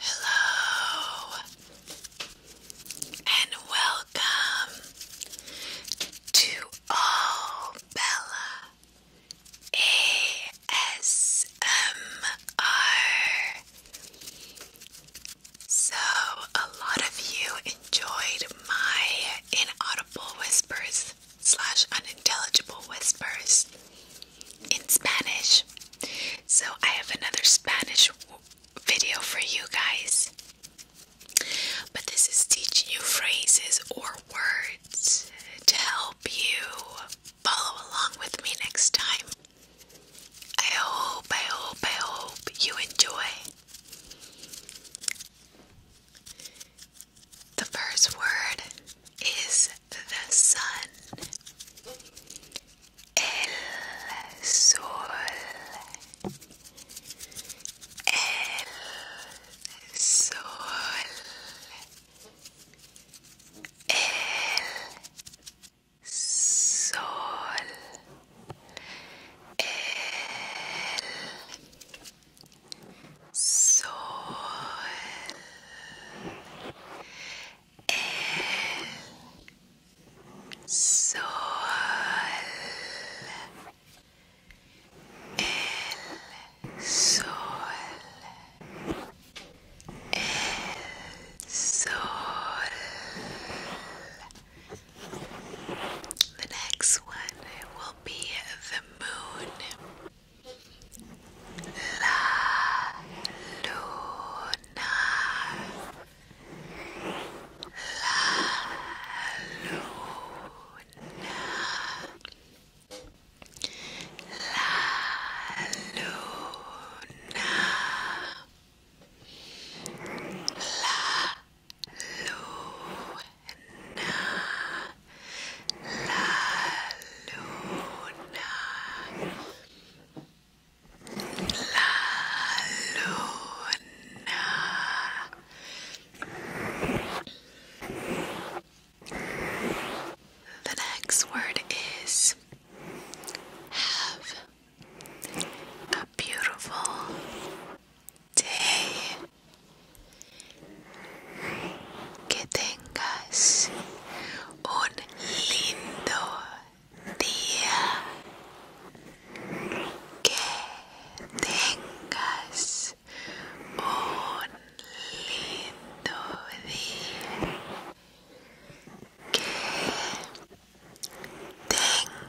Hello and welcome to All Bella ASMR. So, a lot of you enjoyed my inaudible whispers slash unintelligible whispers in Spanish. So I have another Spanish video for you guys. But this is teaching you phrases or words to help you follow along with me next time. I hope, I hope, I hope you enjoy. The first word is the sun. El sol. El sol. El sol. El Sol el sol el sol el sol the next one will be the moon La luna. La luna. La luna. La Luna la luna, la luna. The next word is have a beautiful day. Que tengas un lindo día. Que tengas un lindo día. Que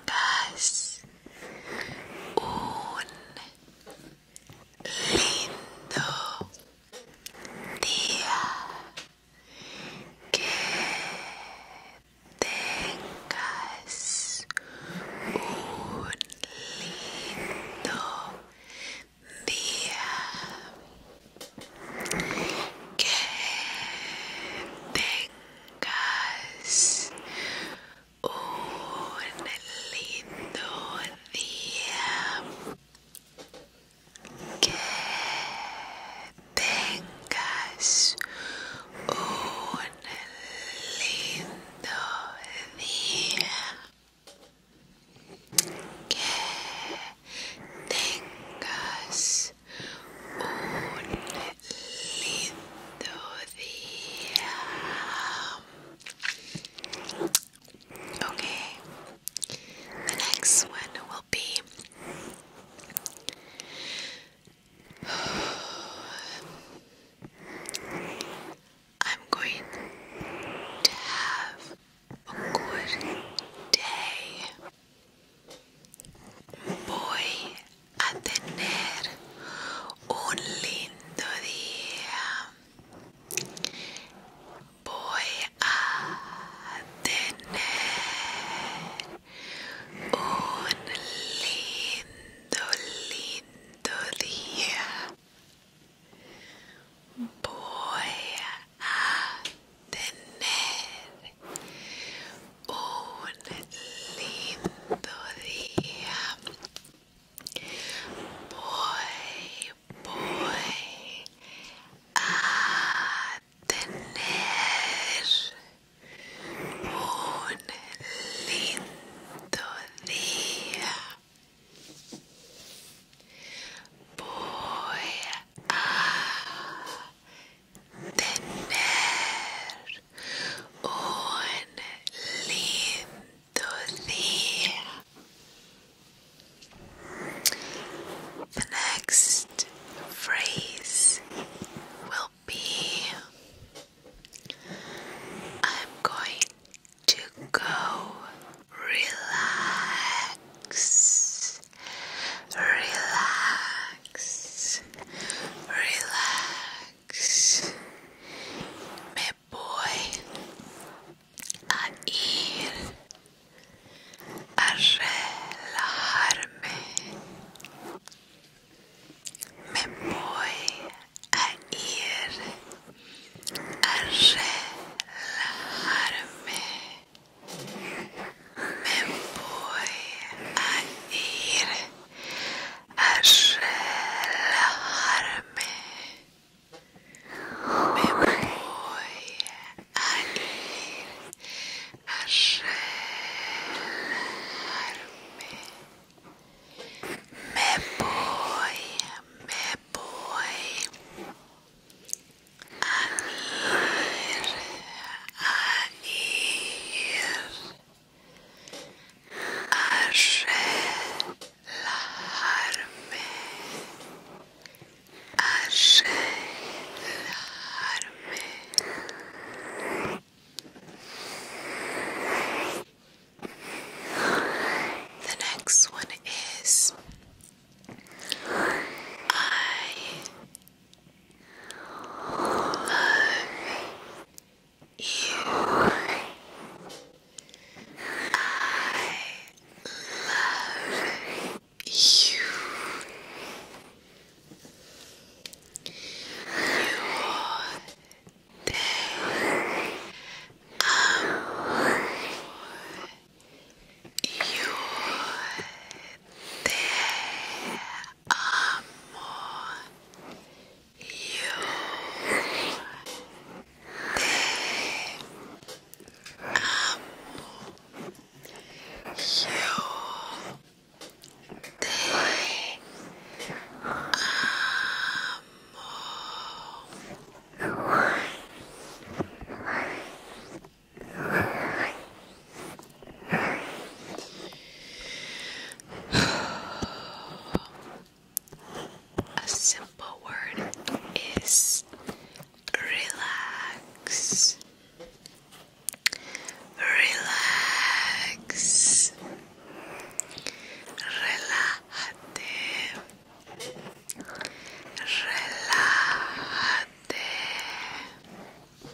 tengas un lindo día que tengas un lindo día que tengas un oh, lindo día. Que tengas un lindo día. Que tengas un lindo día. Okay, the next one will be I'm going to have a good day. Voy a tener un lindo día voy a tener un lindo lindo día voy a tener un lindo día Boy, boy, a tener un lindo día. Voy a tener un lindo día. The next phrase will be I'm going to go relax, relax, relax. me voy a ir a harme me voy a ir a harme me voy a ir relajarme me voy a ir a me voy me voy a ir a relajarme, The next one is I you. I love you. Your day. Amor. Your day amo you te amo yo te amo a simple word is relax. Relax. Relájate. Relájate.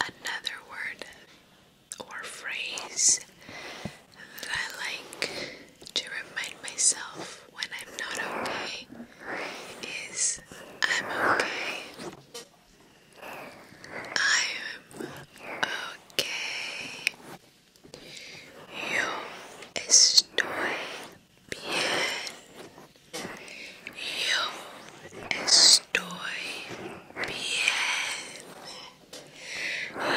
Another word or phrase that I like to remind myself when I'm not okay is I'm okay. I'm okay. Yo estoy bien. Yo estoy bien. Yo estoy bien.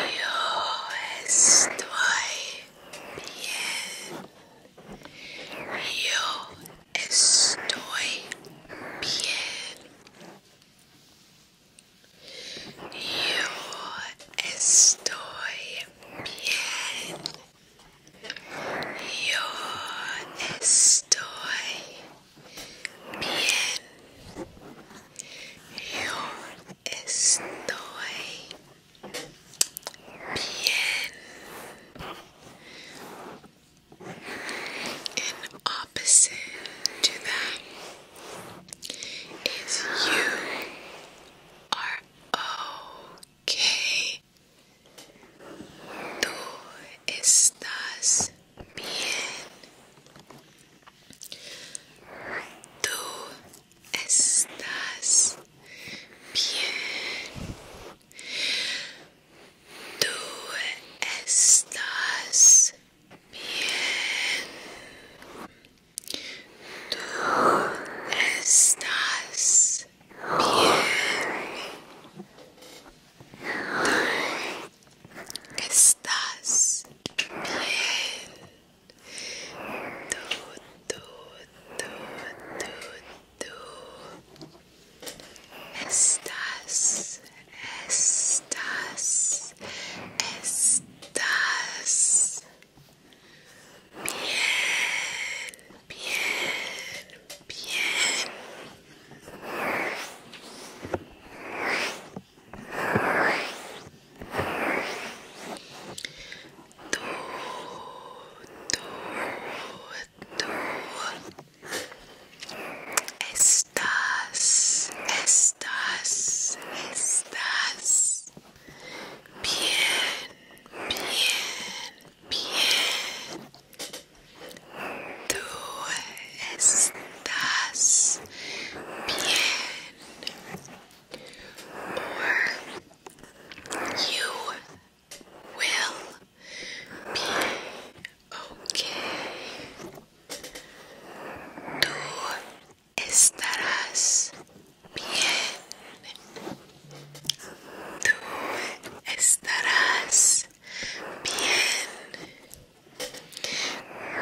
Yo Estoy bien. Yo estoy bien. Yo estoy bien. Yo estoy bien. And opposite to that is you are okay. Tú estás bien. Tú estás bien. Tú estás bien. Tú estás bien. Tú estás bien. Tú, tú, tú, tú, Tú estás, estás, estás bien, bien, bien. Tú, tú tú estás, estás, estás bien, bien, bien. Tú estás bien. you will be okay. Tú estarás bien. Tú estarás bien.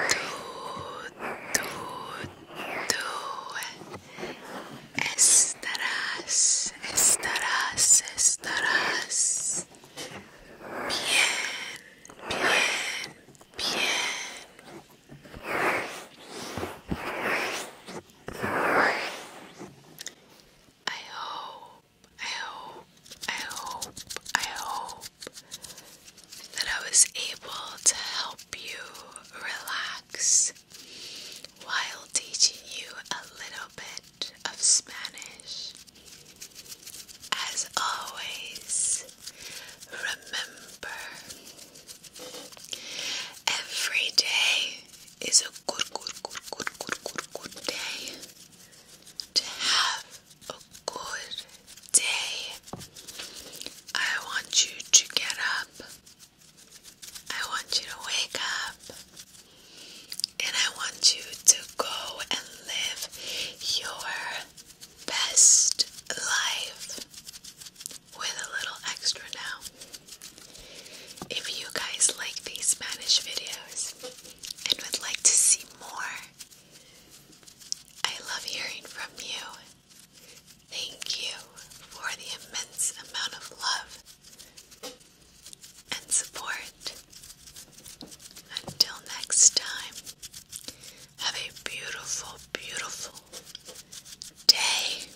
Tú, tú, tú Estarás, estarás, estarás. Bien, bien, bien. I hope, I hope, I hope, I hope that I was able to help you relax while teaching you a little bit of Spanish. As always, remember every day is a good, good, good, good, good, good, good day to have a good day. I want you to get up I want you to wake up and I want you to go and live your best life with a little extra now. If you guys like these Spanish videos and would like to see more, I love hearing from you. Thank you for the immense amount of love and support. Until next time, have a beautiful, beautiful day.